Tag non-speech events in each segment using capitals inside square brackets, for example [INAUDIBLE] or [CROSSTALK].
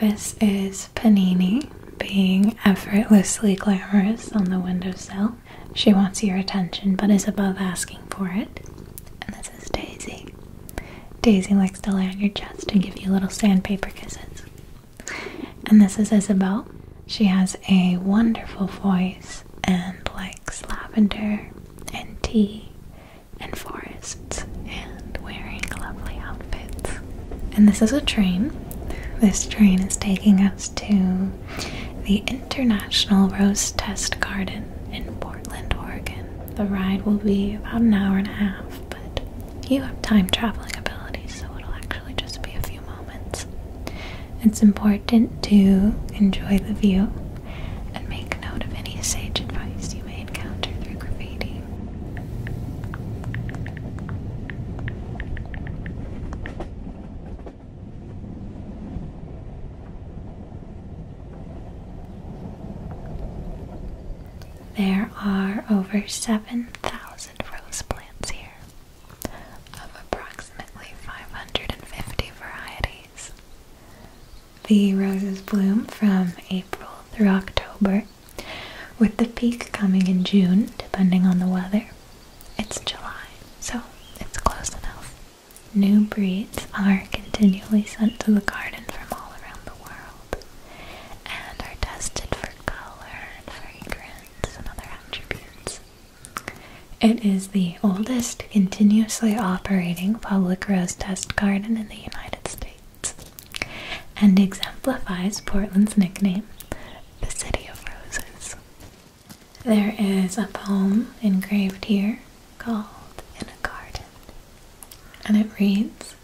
This is Panini being effortlessly glamorous on the windowsill. She wants your attention but is above asking for it. And this is Daisy. Daisy likes to lay on your chest and give you little sandpaper kisses. And this is Isabel. She has a wonderful voice and likes lavender and tea and forests and wearing lovely outfits. And this is a train. This train is taking us to the International Rose Test Garden in Portland, Oregon. The ride will be about an hour and a half, but you have time traveling abilities, so it'll actually just be a few moments. It's important to enjoy the view and make note of any sage advice you may encounter through graffiti. There are over 7,000 rose plants here, of approximately 550 varieties. The roses bloom from April through October with the peak coming in June, depending on the weather. It's July, so it's close enough. New breeds are continually sent to the garden from all around the world and are tested for color and fragrance and other attributes. It is the oldest continuously operating public rose test garden in the United States and exemplifies Portland's nickname, the City of Roses. There is a poem engraved here called In a Garden, and it reads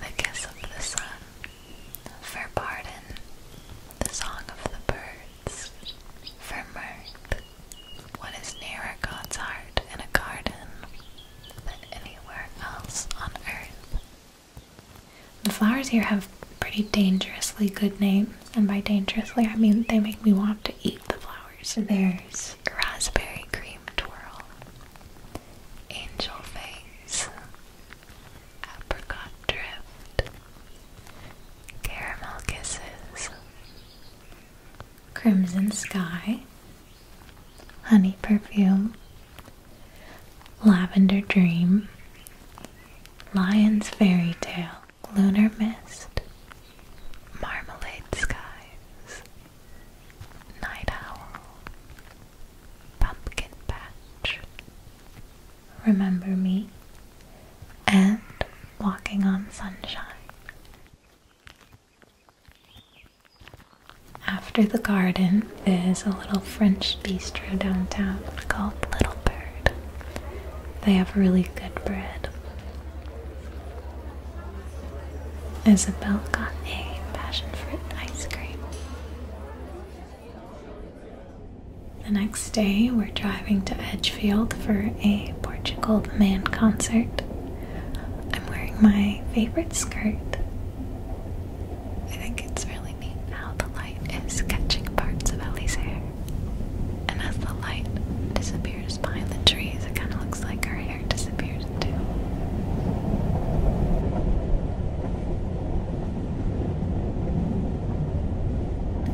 The Kiss of the Sun, for Pardon, the Song of the Birds, for Mirth. What is nearer God's heart in a garden than anywhere else on earth. The flowers here have pretty dangerously good names, and by dangerously I mean they make me want to eat the flowers. There's raspberry cream twirl, angel face, apricot drift, caramel kisses, Crimson Sky, Honey Perfume, Lavender Dream, Lion's Fairy Tale, Lunar Mist, Marmalade Skies, Night Owl, Pumpkin Patch, Remember Me, and Walking on Sunshine. After the garden, there's a little French bistro downtown called Little Bird. They have really good bread. Isabel got a passion fruit ice cream. The next day, we're driving to Edgefield for a Portugal the Man concert. I'm wearing my favorite skirt. I think it's really neat how the light is catching parts of Ellie's hair. And as the light disappears behind the trees, it kind of looks like her hair disappears too.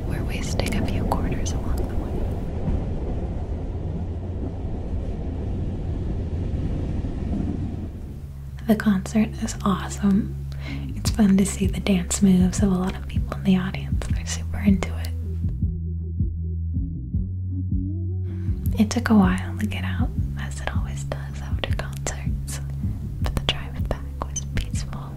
We're wasting a few quarters along the way. The concert is awesome. It's fun to see the dance moves of a lot of people in the audience. They're super into it. It took a while to get out, as it always does after concerts, but the drive back was peaceful.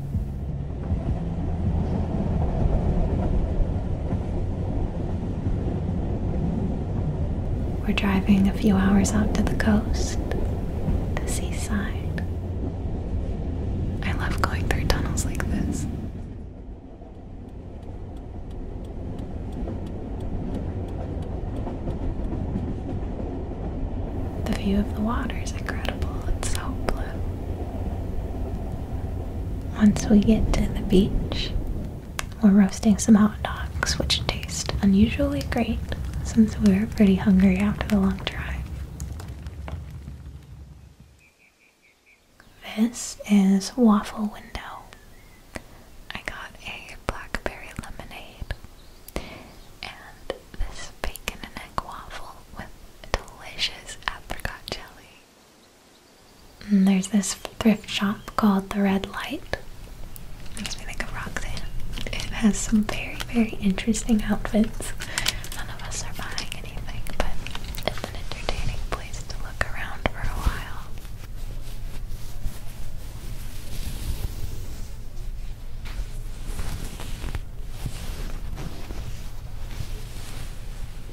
We're driving a few hours out to the coast, the seaside. I love going through tunnels like this. The view of the water is incredible. It's so blue. Once we get to the beach, we're roasting some hot dogs, which taste unusually great since we were pretty hungry after the long drive. This is Waffle Window. I got a blackberry lemonade and this bacon and egg waffle with delicious apricot jelly there's this thrift shop called The Red Light. Makes me think of Roxanne. It has some very, very interesting outfits. None of us are buying anything, but it's an entertaining place to look around for a while.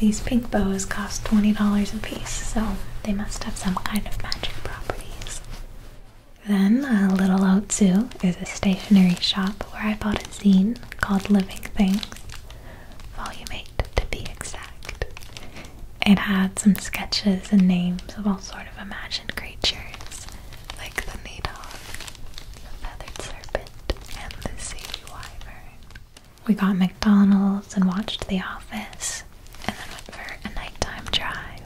These pink bows cost $20 a piece, so they must have some kind of magic properties. Then, a little out zoo is a stationery shop where I bought a zine called Living Things, Volume 8 to be exact. It had some sketches and names of all sort of imagined creatures, like the needle, the feathered serpent, and the sea wyvern. We got McDonald's and watched The Office and then went for a nighttime drive.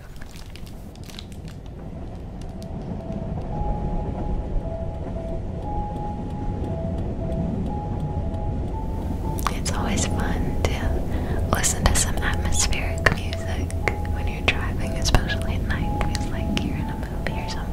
It's always fun to listen to some atmospheric music when you're driving, especially at night. feels like you're in a movie or something.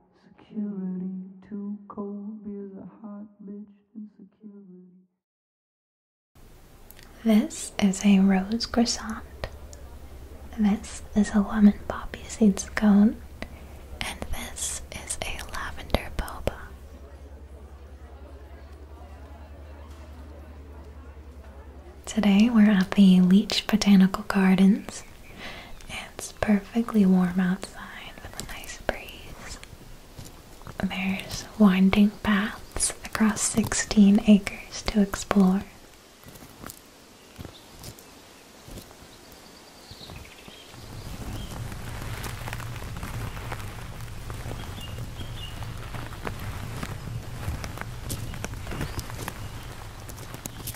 Security too cold beers a hot bitch insecurity. This is a rose croissant. This is a lemon poppy seed scone. And this is a lavender boba. Today we're at the Leech Botanical Gardens it's perfectly warm outside with a nice breeze. There's winding paths across 16 acres to explore.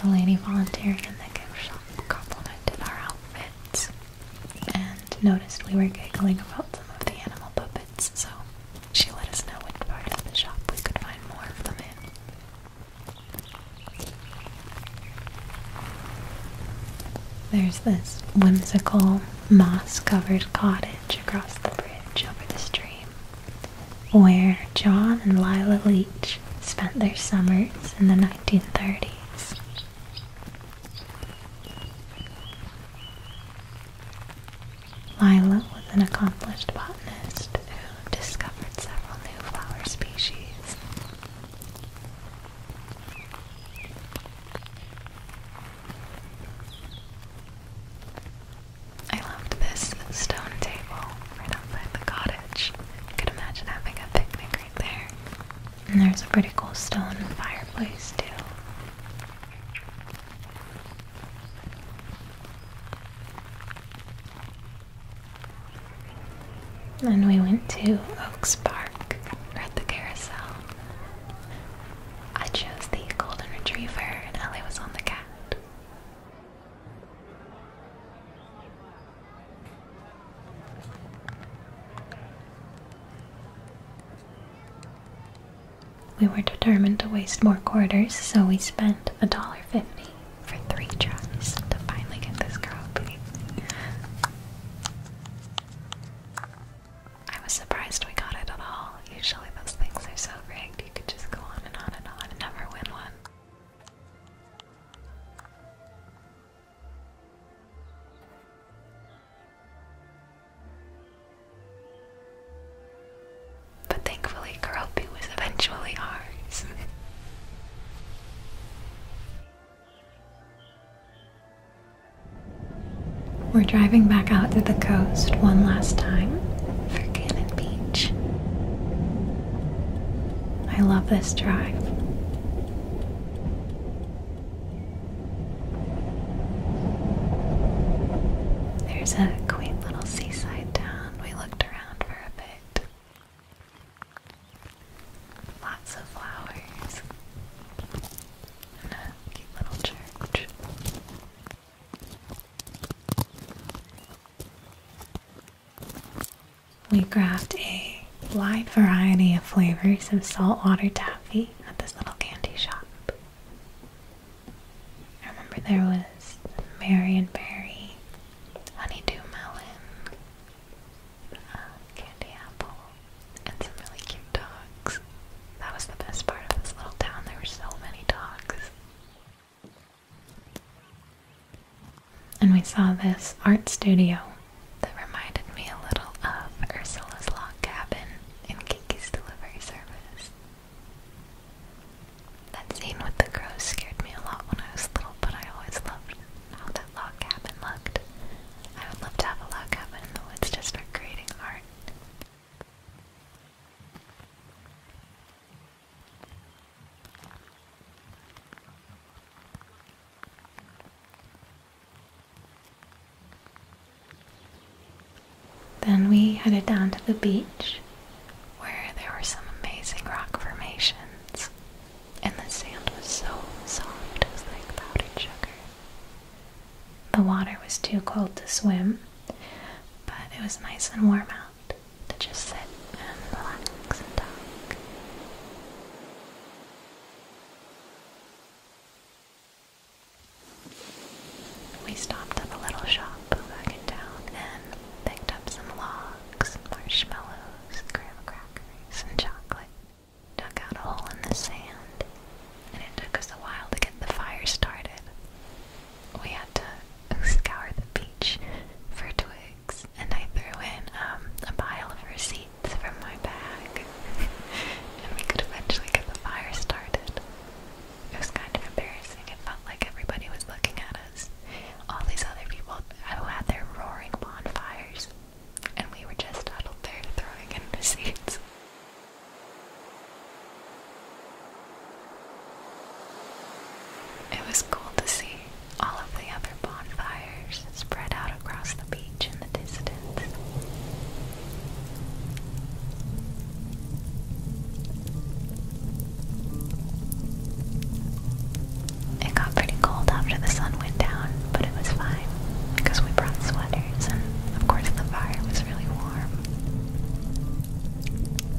The lady volunteering in the gift shop complimented our outfits and noticed we were giggling about some of the animal puppets, so she let us know which part of the shop we could find more of them in. There's this whimsical moss covered cottage across the bridge over the stream where John and Lila Leach spent their summers in the 1930s. Lila was an accomplished botanist who discovered several new flower species. I loved this stone table right outside the cottage. could imagine having a picnic right there. And there's a pretty cool stone fireplace too. And we went to Oaks Park at the carousel. I chose the golden retriever and Ellie was on the cat. We were determined to waste more quarters, so we spent a dollar fifty for three tries to finally get this girl I was surprised we got it at all. Usually those things are so rigged, you could just go on and on and on and never win one. But thankfully, Kuropi was eventually ours. We're driving back out to the coast one last time for dinner beach. I love this drive. There's a quaint little seaside town. We looked around for a bit. Lots of flowers. a cute little church we grabbed a wide variety of flavors of saltwater taffy at this little candy shop. I remember there was Mary and Berry, Honeydew Melon, uh, Candy Apple, and some really cute dogs. That was the best part of this little town. There were so many dogs. And we saw this art studio that reminded me a little of Ursula's Log Cabin in Kiki's Delivery Service. That scene with the crows scared me a lot when I was little, but I always loved how that log cabin looked. I would love to have a log cabin in the woods just for creating art. Then we headed down to the beach where there were some amazing rock formations, and the sand was so soft, it was like powdered sugar. The water was too cold to swim, but it was nice and warm out to just sit and relax and talk. We stopped at a little shop back in town and picked up some logs, marshmallows, graham crackers, and chocolate. Dug out a hole in the sand, and it took us a while to get the fire started we had to scour the beach for twigs, and I threw in um, a pile of receipts from my bag, [LAUGHS] and we could eventually get the fire started. It was kind of embarrassing. It felt like everybody was looking at us. All these other people who had their roaring bonfires, and we were just huddled there throwing in the receipts. It was cool to see all of the other bonfires spread out across the beach in the distance. It got pretty cold after the sun went down, but it was fine because we brought sweaters and of course the fire was really warm.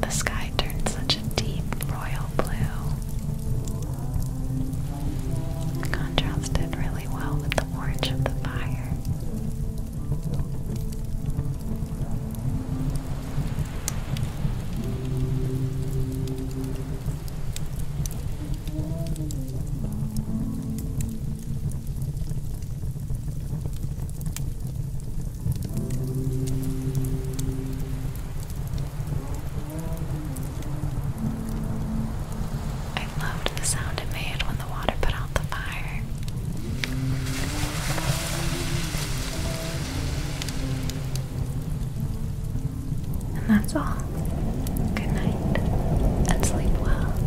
The sky turned such a deep royal blue. Contrasted really well with the orange of the fire. I loved the sound it made when the water put out the fire. And that's all. Good night and sleep well.